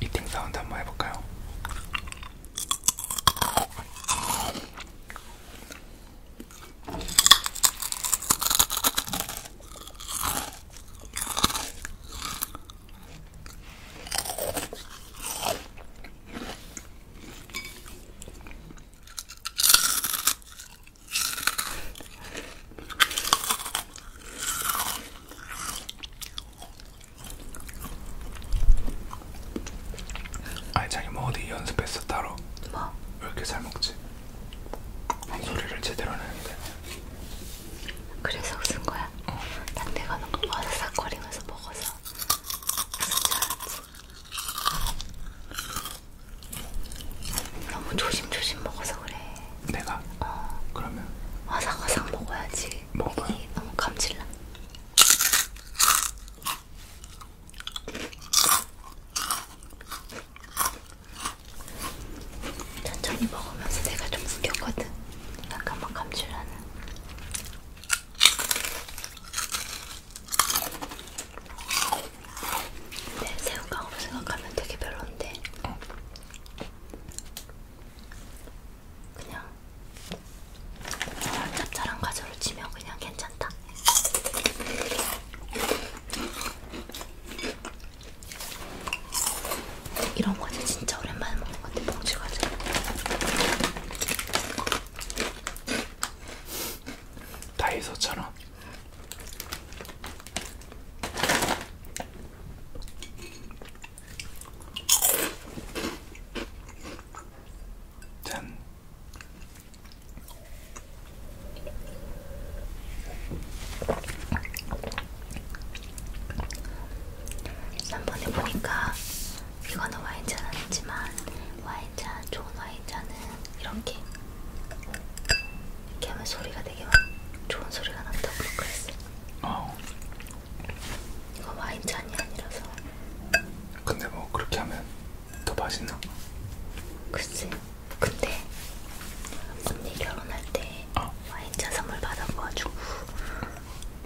이팅 사운드 한번 해볼까요? 아니 자기 뭐 어디 연습했어 따로? 뭐? 왜 이렇게 잘 먹지? 아니. 소리를 제대로 내는데 그래서 웃은 거야? 어. 난 내가 너무 바삭거리면서 먹어서 진짜 너무 조심조심 먹어서 그래. 내가? 어. 그러면? 와삭와삭 먹어야지. 그 먹어요. 이게 너무 어, 감질나. 천천히 먹으면서 내가 좀 숙였거든. 약간 막 감질나는. 근데 새우깡으로 생각하면 되게 별론데. 그냥 짭짤한 과자로 치면 그냥 괜찮다. 이런 과자 진짜 오랜만에 먹는 건데 봉지 과자. 다이소처럼. 짠. 지난번에 보니까 이거는 와인잔 아니지만 와인잔 좋은 와인잔은 이렇게 이렇게 하면 소리가 되게 막 좋은 소리가 난다고 그랬어. 어. 이거 와인잔이 아니라서. 근데 뭐 그렇게 하면 더 맛있나? 글쎄. 근데 언니 결혼할 때 어. 와인잔 선물 받아가지고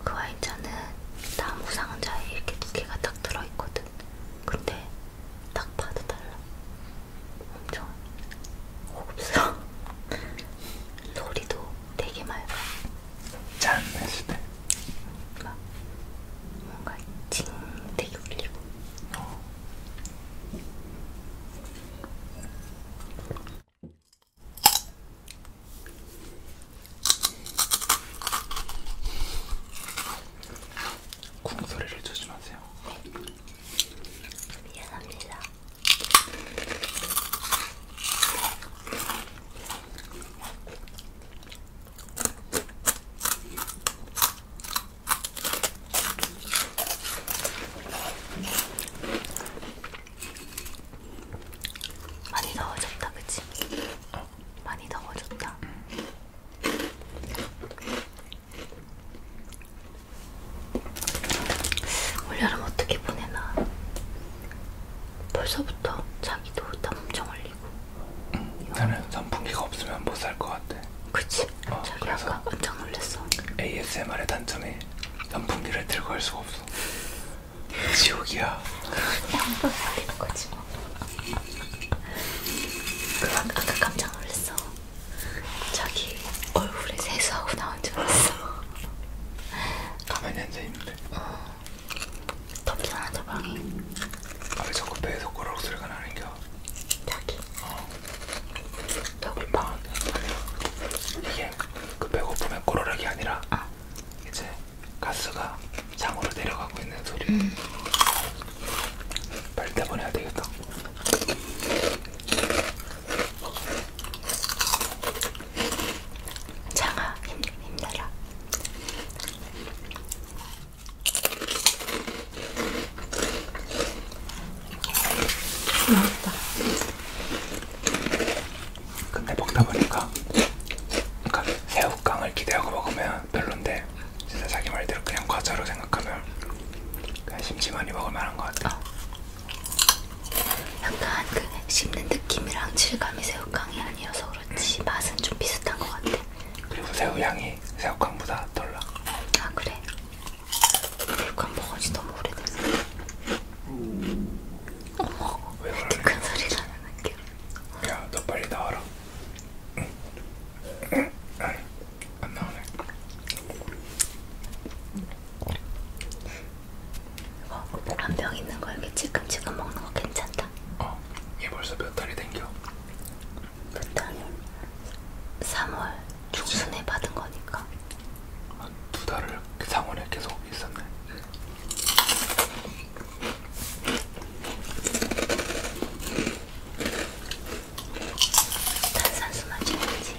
그 와인잔은 나무 상자에 이렇게 두 개가 딱 들어있거든. 근데 딱 봐도 달라. 엄청 고급스러워. 소리도 되게 맑아. 잘안시네 뭔가, 뭔가 징 되게 울리고. 어. 쿵 소리를 조심하세요. 네. 미안합니다. 많이 넣어줬다, 그치? 어. 많이 넣어줬다. 응. 올 여름 어떻게 보내나? 벌써부터 자기도 땀청 흘리고 응, 나는 선풍기가 없으면 못살것 같아 그치? 어, 자기 그래서 아까 깜짝 놀랐어 ASMR의 단점이 선풍기를 들고 할 수가 없어 지옥이야 한번 살리는 거지 뭐 아, 아까 깜짝 놀랐어 자기 얼굴에 세수하고 나온 줄 알았어 가만히 앉아 있는 돼. 어. 덥잖아 방이. 아왜 자꾸 배에 손가락 소리가 나는겨? 자기. 어. 여기 방. 이게 그 배고픔의 꼬르륵이 아니라 어. 이제 가스가 장으로 내려가고 있는 소리. 음. 빨리 내보내야 되겠다. 장아 힘, 힘내라. 맛있다. 근데 먹다 보니까 그러니까 새우깡을 기대하고 먹으면 별론데 진짜 자기 말대로 그냥 과자로 생각하면 그냥 심심하니 먹을 만한 것 같아. 어, 약간 그 씹는 느낌이랑 질감이 새우깡이 아니어서 그렇지 응. 맛은 좀 비슷한 것 같아. 그리고 새우향이 새우깡보다 덜 나. 아 그래? 새우깡 먹은지 너무 오래됐어. 어머, 왜 이렇게 큰 소리 나는 게? 야, 너 빨리 나와라. 응. 응. 안 나오네. 어, 한병 뭐 있는 거 이렇게 지금지금 먹는 거 괜찮다. 어, 얘 벌써 몇 달이 된겨? 몇 달이요? 3월 중순에 받은 거니까. 아, 두 달을 그 상원에 계속 있었네. 응. 탄산수 마셔야지.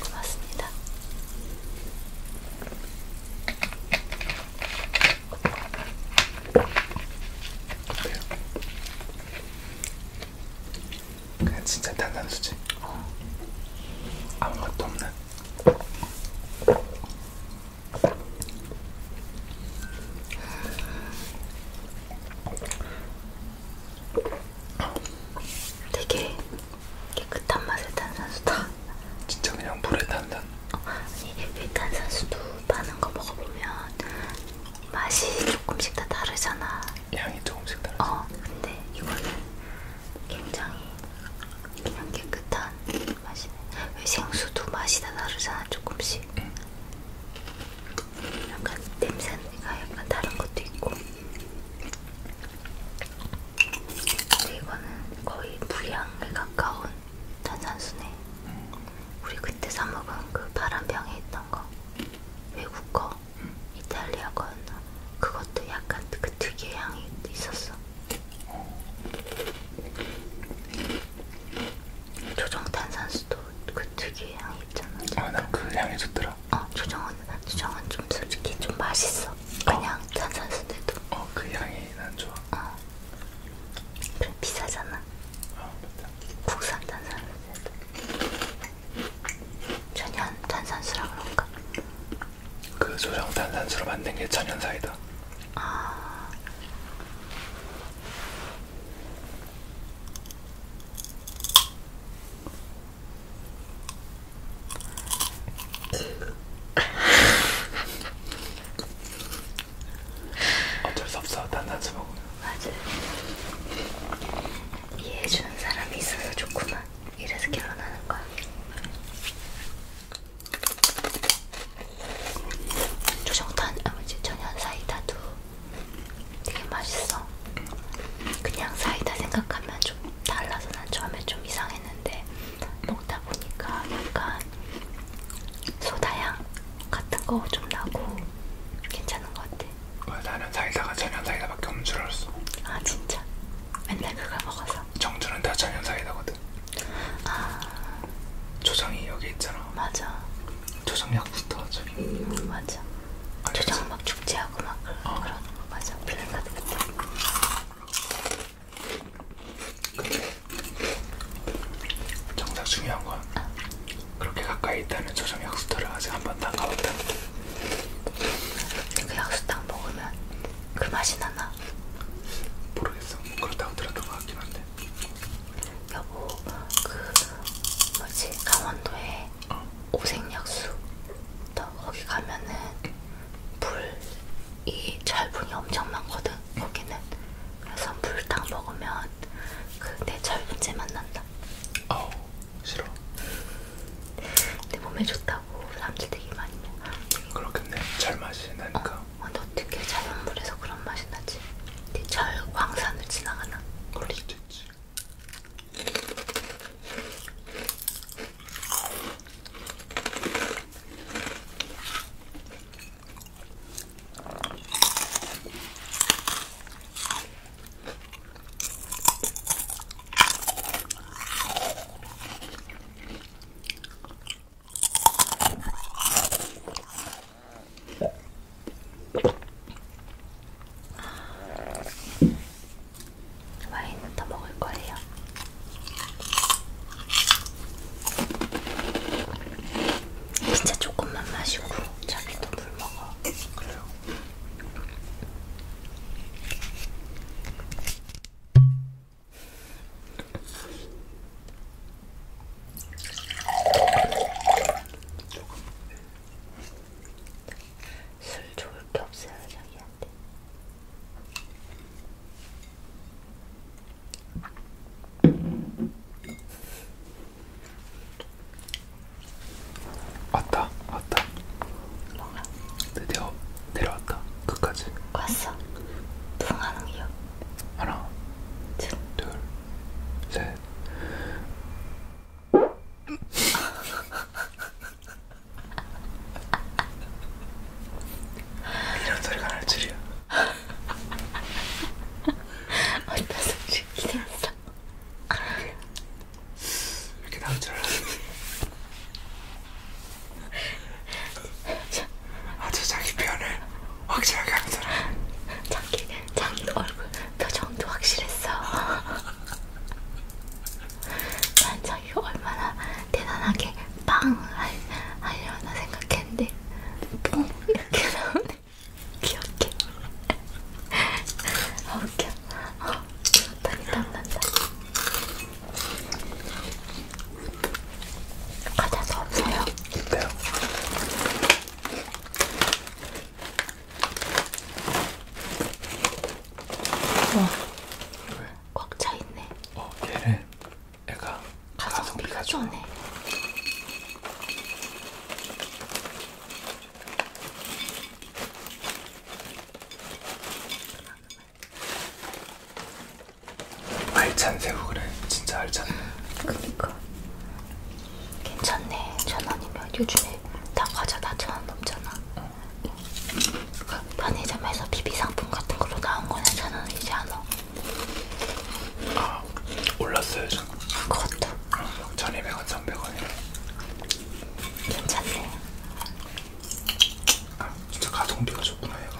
고맙습니다. 어때요? 그냥 진짜 탄산수지? 어. 아무것도 없는 되게 깨끗한 맛의 탄산수다. 진짜 그냥 물에 탄산. 어, 아니 일탄산수도 파는 거 먹어보면 맛이 조금씩 다 다르잖아. 양이 조금씩 다르. 어, 근데 이거는 굉장히 그냥 깨끗한 맛이네. 왜 생수도 맛이 다 다르잖아 조금씩. 응. 약간 냄새가 약간 다른 것도 있고. 근데 이거는 거의 불량에 가까운 탄산수네. 응. 우리 그때 사 먹은 그 파란 병에 있던 거 외국 거, 응. 이탈리아 거였나? 그것도 약간 그 특유의 향이 있었어. 조정탄산수도 그 특유의 향이 있잖아. 아, 나그 향이 좋더라. 어, 조정은, 조정은 좀 솔직히 좀 맛있어. 어. 그냥 어. 탄산수들도. 어, 그 향이 난 좋아. 어. 그래, 비싸잖아. 어, 맞다. 국산 탄산수들도. 전혀 탄산수라 그런가? 그 조정탄산수로 만든 게 천연사이다. 아. 어쩔 수 없어, 단단수 먹으면. 맞아. 이해해주는 사람이 있어서 좋구만. 이래서 결혼하는 거야. 조정탄, 아버지 천연 사이다도 되게 맛있어. 그냥 사이다 생각하면 좀 달라서 난 처음에 좀 이상했는데 먹다 보니까 약간 소다향 같은 거 좀 나고 괜찮은 것 같아. 어, 나는 사이다가 천연 사이다밖에 없는 줄 알았어. 아 진짜? 맨날 그걸 먹어서 청주는 다 자연사이다거든 아... 초장이 여기 있잖아 맞아 초장약부터 저기 음, 맞아 알겠지? 초장 막 축제하고 막 어. 그런 거 맞아 블랙카드 근데 정작 중요한 건 아. 그렇게 가까이 있다는 초장 약수터를 아직 한 번도 안 가봤다 그 약수탕 먹으면 그 맛이 나나? 모르겠어. 그렇다고 들었던 것 같긴 한데. 여보, 그 뭐지 강원도에 어. 오색약수. 거기 가면은 불이 철분이 엄청 많거든. 거기는 그래서 불탕 먹으면 그내 철분제 만난다. 아우 어, 싫어. 내 몸에 좋다. 하고 사람들 되게 많이 먹어. 그렇겠네. 잘 마시니까. 어, 근데 어, 어떻게 자연물에서 그런 맛이 나지? 근데 네 절 광산을 지나가나? 그럴 수도 있지. 와인은 더 먹을 거예요. 진짜 조금만 마시고 자기도 물 먹어. 그래요. 술 좋을 게 없어요, 자기한테. 왔다, 왔다. 뭐가? 네, 드디어 내려왔다. 끝까지. 왔어. 부응하는 기요 하나, 둘, 둘 셋. 이런 소리가 날 줄이야. 어디서 기대했어? 이렇게 나올 줄 알았는데 아주 자기 표현을 확실하게 하더라. 자기 자기 얼굴 표정도 확실했어. 난 자기 얼마나 대단하게 빵 할, 하려나 생각했는데 뽕 이렇게 나오네. 귀엽게. 아 웃겨. 아, 어, 땀이 땀난다. 과자도 없어요? 네요. 어. 꽉 차있네. 어, 얘는 애가 가성비가 좋네. 알찬 새우 그래 진짜 알찬네 그니까 괜찮네 천원이면 요즘에 다 과자 다 천원 넘잖아 응. 어. 그러니까 편의점에서 비비상품 같은 걸로 나온 거는 천원이지 않아 아 올랐어요 요즘 그것도 응, 1200원 1100원이래 괜찮네 아, 진짜 가성비가 좋구나 얘가.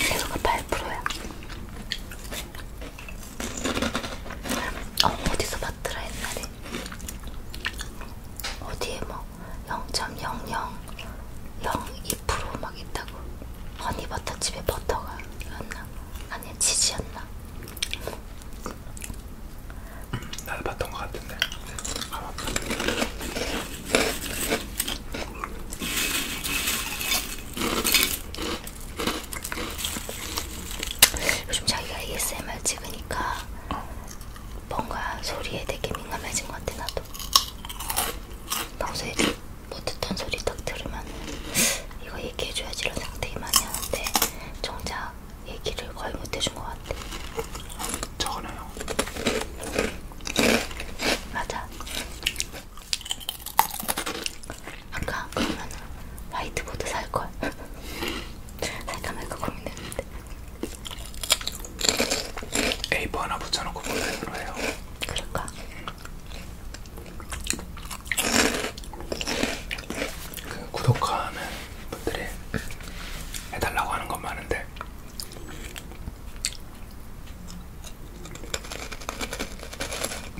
해소가 8%야. 어, 어디서 봤더라 옛날에? 어디에 뭐 0.0002%막 있다고. 허니버터집에 버터가 였나? 아니면 치즈였나? 나도 봤던 것 같은데. 요즘 자기가 ASMR 찍으니까 어. 뭔가 소리에 되게 민감해진 것 같아 나도. 평소에 못 듣던 소리 딱 들으면 이거 얘기해줘야지 이런 생각 되게 많이 하는데 정작 얘기를 거의 못해준 것 같아. 적어놔요. 맞아. 아까 그러면 화이트보드 살걸. 살까 말까 고민했는데. A4 하나 붙여놓고 보내는 거예요. 그럴까? 그 구독하는 분들이 해달라고 하는 건 많은데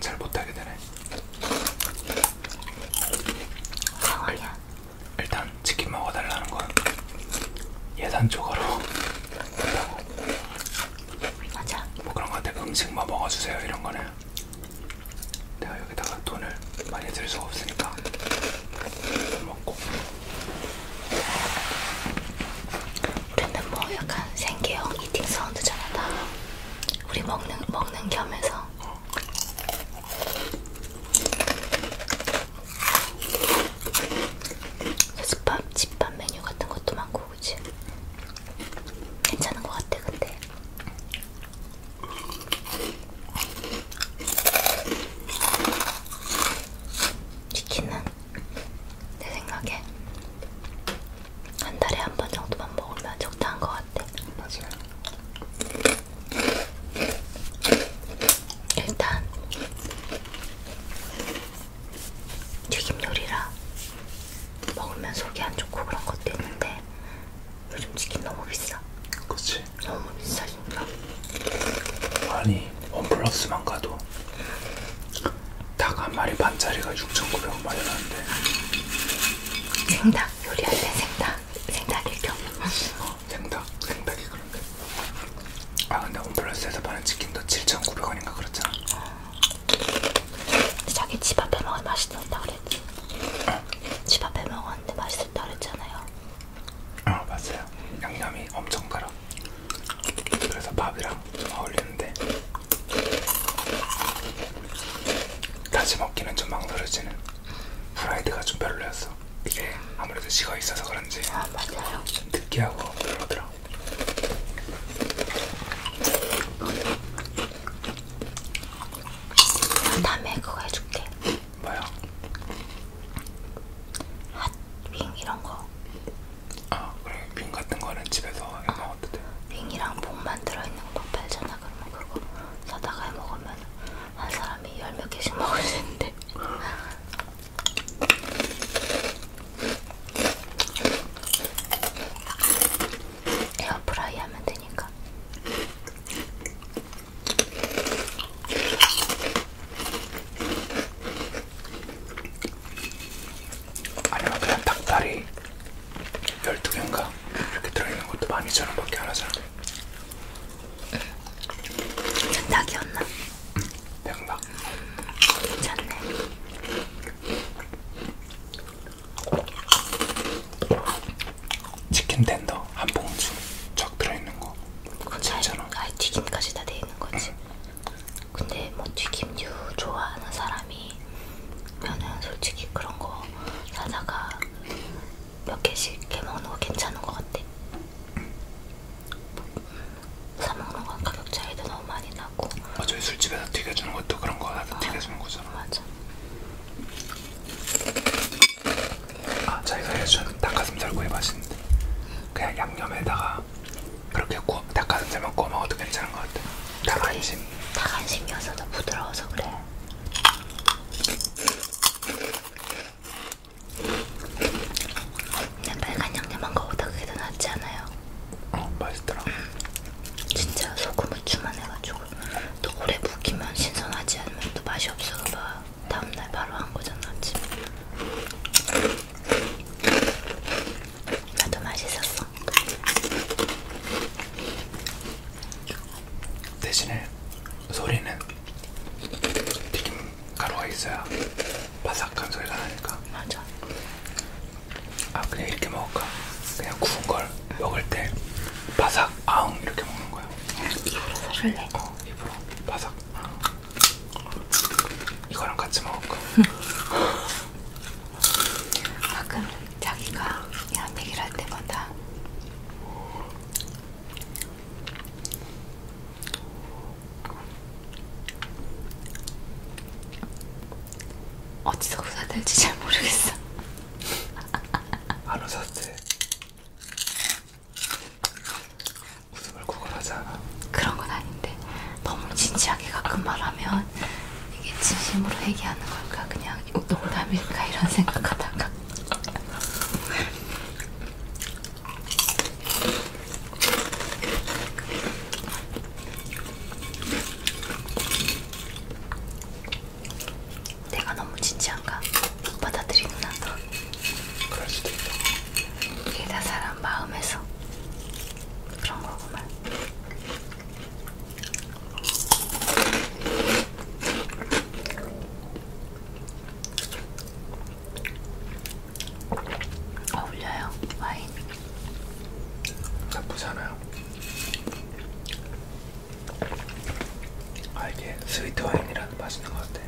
잘 못하게 되네. 아야. 일단 치킨 먹어달라는 건 예산 쪽으로 맞아. 뭐 그런 것들 음식 뭐 먹어주세요 이런 거는 내가 여기다가 돈을 많이 들 수가 없으니까 먹고 우리는 뭐 약간 생계형 이팅 사운드잖아 다 우리 먹는 먹는 겸해서 어. 그래서 밥 집밥 메뉴 같은 것도 많고 그치? 괜찮은 것 같아 근데 치킨은 내 생각에 한 달에 한 번 정도만 먹으면 적당한 것 같아. 맞아요. 일단 튀김 요리라 먹으면 속이 안 좋고 그런 것도 있는데 요즘 치킨 너무 비싸. 그렇지. 너무 비싸니까. 아니 원 플러스만 가도 닭 한 마리 반짜리가 6,900원 말이라는데. 생닭 요리할 때 생닭 생닭일 경우. 어, 생닭 생닭이 그런데. 아 근데 원 플러스에서 파는 치킨도 7,900원인가 그렇잖아. 자기 집 앞에 먹으면 맛있었다 그랬지. 어? 집 앞에 먹었는데 맛있었다 그랬잖아요. 아 어, 맞아요. 양념이 엄청 달아. 그래서 밥이랑 어울리는데 다시 먹기는 좀 망설여지는 프라이드가 좀 별로였어. 이게 아무래도 식어 있어서 그런지 아, 맞아요. 좀 느끼하고 별로더라. 다음에 그거 해줄게. 뭐야? 핫빙 이런 거. 아 그래 빙 같은 거는 집에서 해 먹어도 돼. 빙이랑 봉만 들어있는 거 팔잖아. 그러면 그거 사다가 해 먹으면 한 사람이 열 몇 개씩 먹을 수 있는데. 에어프라이 하면 되니까. 아니면 그냥 닭다리 12개인가 이렇게 들어있는 것도 12,000원 밖에 안 하잖아 닭이었나? 응 백닭 괜찮네 치킨 텐더 한 봉지 쫙 들어있는 거 괜찮아 아예 튀김까지 다 돼있는 거지 응. 근데 뭐 튀김류 좋아하는 사람이 면은 솔직히 그런 거 사다가 몇 개씩 이렇게 먹는 거 괜찮은 것 같아 응. 사먹는 건 가격 차이도 너무 많이 나고 어차피 술집에서 튀겨주는 것도 그런 거다 어, 아, 튀겨주는 거잖아 맞아 아, 자기가 해준 닭가슴살 구이 맛인데 그냥 양념에다가 그렇게 구, 닭가슴살만 구워 먹어도 괜찮은 것 같아. 닭안심. 닭안심이어서 더 부드러워서 그래. 그냥 빨간 양념한 거보다 그게 더 낫지 않아요? 어, 맛있더라. 진짜 소금 후추만 해가지고 또 오래 묵이면 신선하지 않으면 또 맛이 없어 봐. 다음날 바로 한 거잖아 아침. 나도 맛있었어. 대신에 소리는 튀김 가루가 있어야 바삭한 소리가 나니까. 맞아. 아 그냥 이렇게 먹을까? 그냥 구운 걸 먹을 때 바삭 아웅 이렇게 먹는 거야. 입으로 소리를 내. 어. 어, 이거 바삭. 이거랑 같이 먹을까? 가끔 아, 자기가 얀맥이라 할 때마다 어디서 사들지 잘 모르겠어. 안 웃었지? 웃음을 구걸하지 않아. 그런 건 아닌데 너무 진지하게 가끔 그 말하면 이게 진심으로 얘기하는 걸까 그냥 농담일까 이런 생각하다가 내가 너무 진지한가? 받아들이구나. 그럴 수도 있다. 이게 다 사람 마음에서 그런 거구만. 어울려요 와인. 나쁘잖아요. 아 이게 스위트 와인이라는 맛있는 것 같아.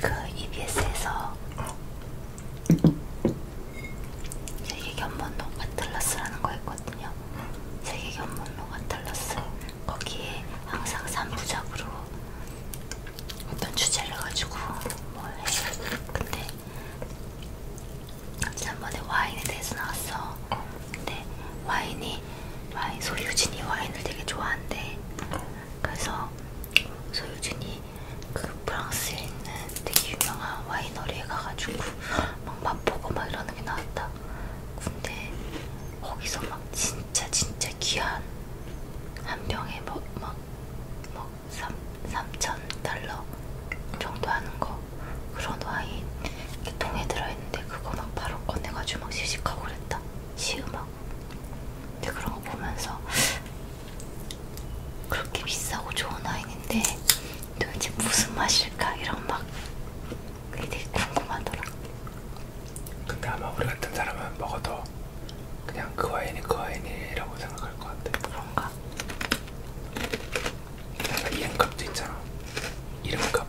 그 EBS에서 세계 견본록 아틀라스라는 거 있거든요. 세계 견본록 아틀라스 거기에 항상 3부작으로 어떤 주제를 가지고 뭘 해. 근데 지난번에 와인에 대해서 나왔어. 근데 와인이 와인 소유진이 와인을 되게 좋아한대. 그래서 소유진이 그 프랑스에 있는 되게 유명한 와이너리에 가가지고 막 맛보고 막 이러는 게 나왔다. 근데 거기서 막 진짜 진짜 귀한 한 병에 뭐막막 뭐 3천 뭐 달러 정도 하는 거 그런 와인 이렇게 통에 들어있는데 그거 막 바로 꺼내가지고 막 시식하고 그랬다. 시음하고. 있어요. 근데 그런 거 보면서 그렇게 비싸고 좋은 와인인데 도대체 무슨 맛일까 이런 막 그게 되게 궁금하더라. 근데 아마 우리 같은 사람은 먹어도 그냥 그 와인이 그 와인이라고 생각할 것 같아. 그런가? 약간 이름값도 있잖아. 이름값.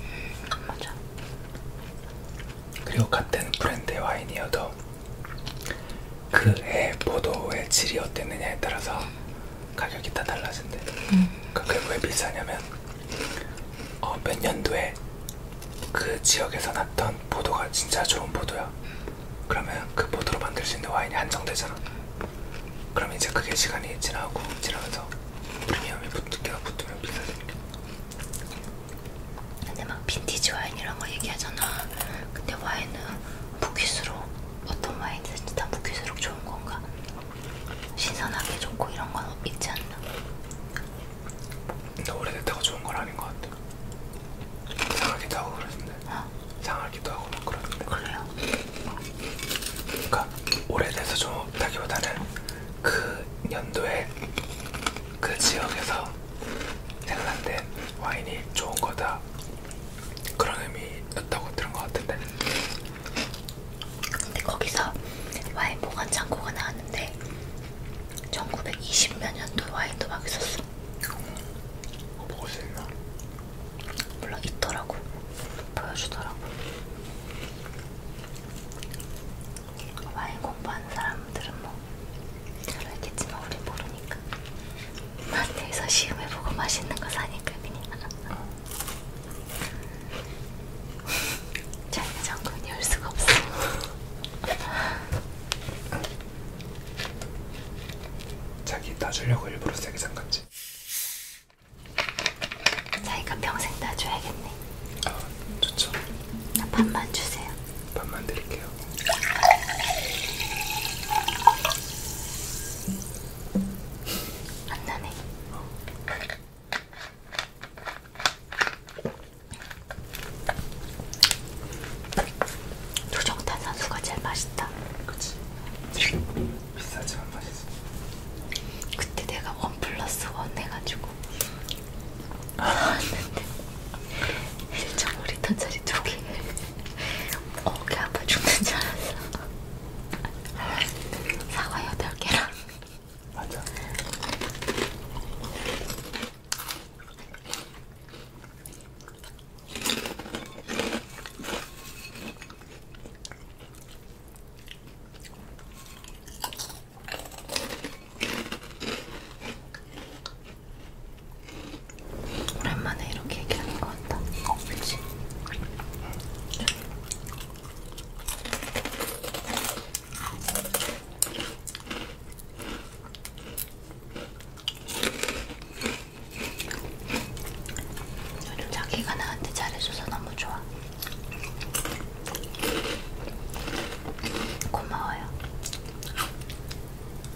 음, 맞아. 그리고 같은 브랜드의 와인이어도 그해 포도의 질이 어땠느냐에 따라서 가격이 다 달라진대. 음. 그러니까 그게 왜 비싸냐면 어, 몇 년도에 그 지역에서 났던 포도가 진짜 좋은 포도야. 그러면 그 포도로 만들 수 있는 와인이 한정되잖아. 그럼 이제 그게 시간이 지나고 지나면서 프리미엄이 붙기가 붙으면 비싸지니까. 근데 막 빈티지 와인 이런 거 얘기하잖아. 근데 와인은 무기수로 어떤 와인든지 다 무기수로 좋은 건가? 신선하게 좋고 이런 건 있지 않나? 근데 오래됐다고 좋은 건 아닌 것 같아. 상하기도 하고 그러던데. 어? 상하기도 하고 막 그러던데. 그래요? 그러니까 오래돼서 좋다기보다는 그 연도에 그 지역에서 핀란드 와인이 좋은 거다 그런 의미였다고 들은 것 같은데 근데 거기서 와인 보관 창고가 나왔는데 1920몇 년도 와인도 막 있었어 어, 먹을 수 있나? 물론 있더라고 보여주더라고 와인 공부하는 사람들은 뭐 별로였겠지만 우린 모르니까 마트에서 시음해보고 맛있는 거 사니까 그냥 자기가 장군이 올 수가 없어 자기 따주려고 일부러 세게 잠갔지 자기가 평생 따줘야겠네 아 좋죠 밥만 주세요 반만 드릴게요. 안 나네. 어. 조정탄산수가 제일 맛있다. 그치. 비싸지만 맛있어. 그때 내가 원 플러스 원 해가지고 왔는데 아, 진짜 머리 단자리 두개 어깨 아파 죽는 줄 알았어 사과 8개랑 맞아 오랜만에 이렇게 얘기하는 것 같다. 어, 그치? 요즘 자기가 나한테 잘해줘서 너무 좋아. 고마워요.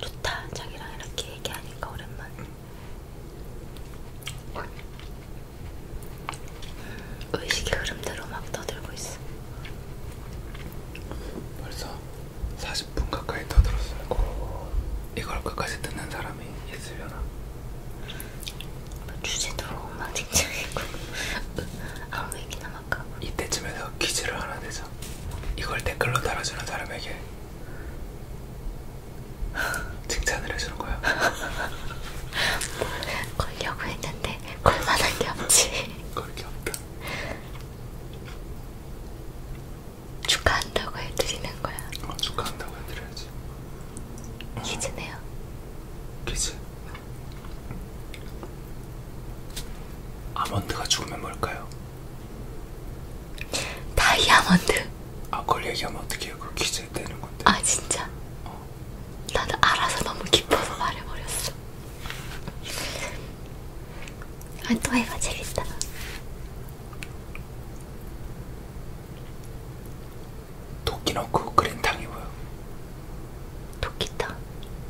좋다. 자기랑 이렇게 얘기하니까 오랜만에. 음, 의식의 흐름대로 막 떠들고 있어. 벌써 40분 가까이 떠들었어요. 오. 이걸 끝까지 듣는 사람이 있으려나? 주제도 막 쟁쟁했고 아무 얘기나 할까? 이때쯤에서 퀴즈를 하나 내자. 이걸 댓글로 달아주는 사람에게 칭찬을 해주는 거야. 걸려고 했는데 걸만한 게 없지. 걸게 없다. 축하한다고 해드리는 거야. 어, 축하한다고 해드려야지. 퀴즈네요. 퀴즈. 아몬드가 죽으면 뭘까요? 다이아몬드. 아 그걸 얘기하면 어떡해요? 그거 기재되는 건데. 아 진짜? 어. 나는 알아서 너무 뭐 기뻐서 말해버렸어. 아또 해봐 재밌다. 도끼 넣고 그 그린 탕이 보여. 도끼탕.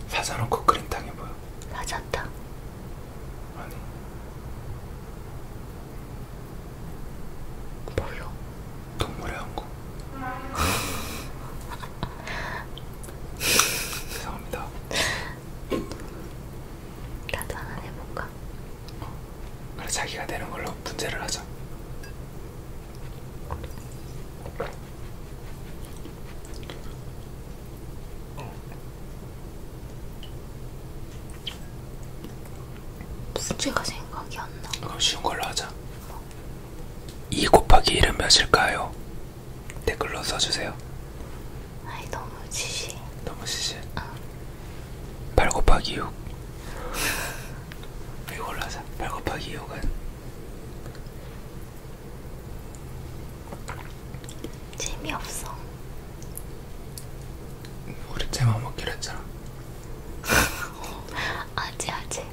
사자 넣고 그린 탕이 보여. 사자탕. 아니 뭘로? 동물의 왕국 죄송합니다 나도 하나 해볼까? 어. 그래 자기가 되는 걸로 문제를 하자 어. 문제가 생각이 안 나. 그럼 쉬운 걸로 하자. 뭐? 2 곱하기 1은 몇일까요? 댓글로 써주세요. 아이 너무 지시. 너무 지시. 응. 8 곱하기 6. 이걸로 하자. 8 곱하기 6은 재미없어. 우리 쟤만 먹기로 했잖아. 아재 아재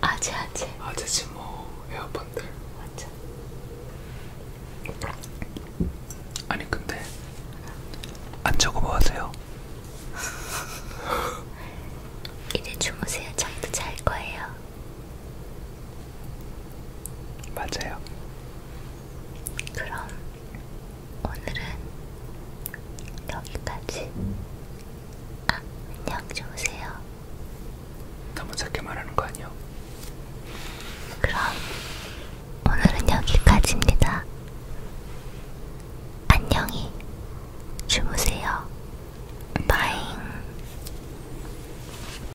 아재 아재 아재지 뭐 에어팟들. 맞아. 아니 근데 안 자고 뭐 하세요? 이제 주무세요. 저희도 잘 거예요. 맞아요. 그럼 오늘은 여기까지. 아, 안녕 주무세요. 너무 작게 말하는 거 아니요? 그럼 오늘은 여기까지입니다. 안녕히 주무세요. 바잉.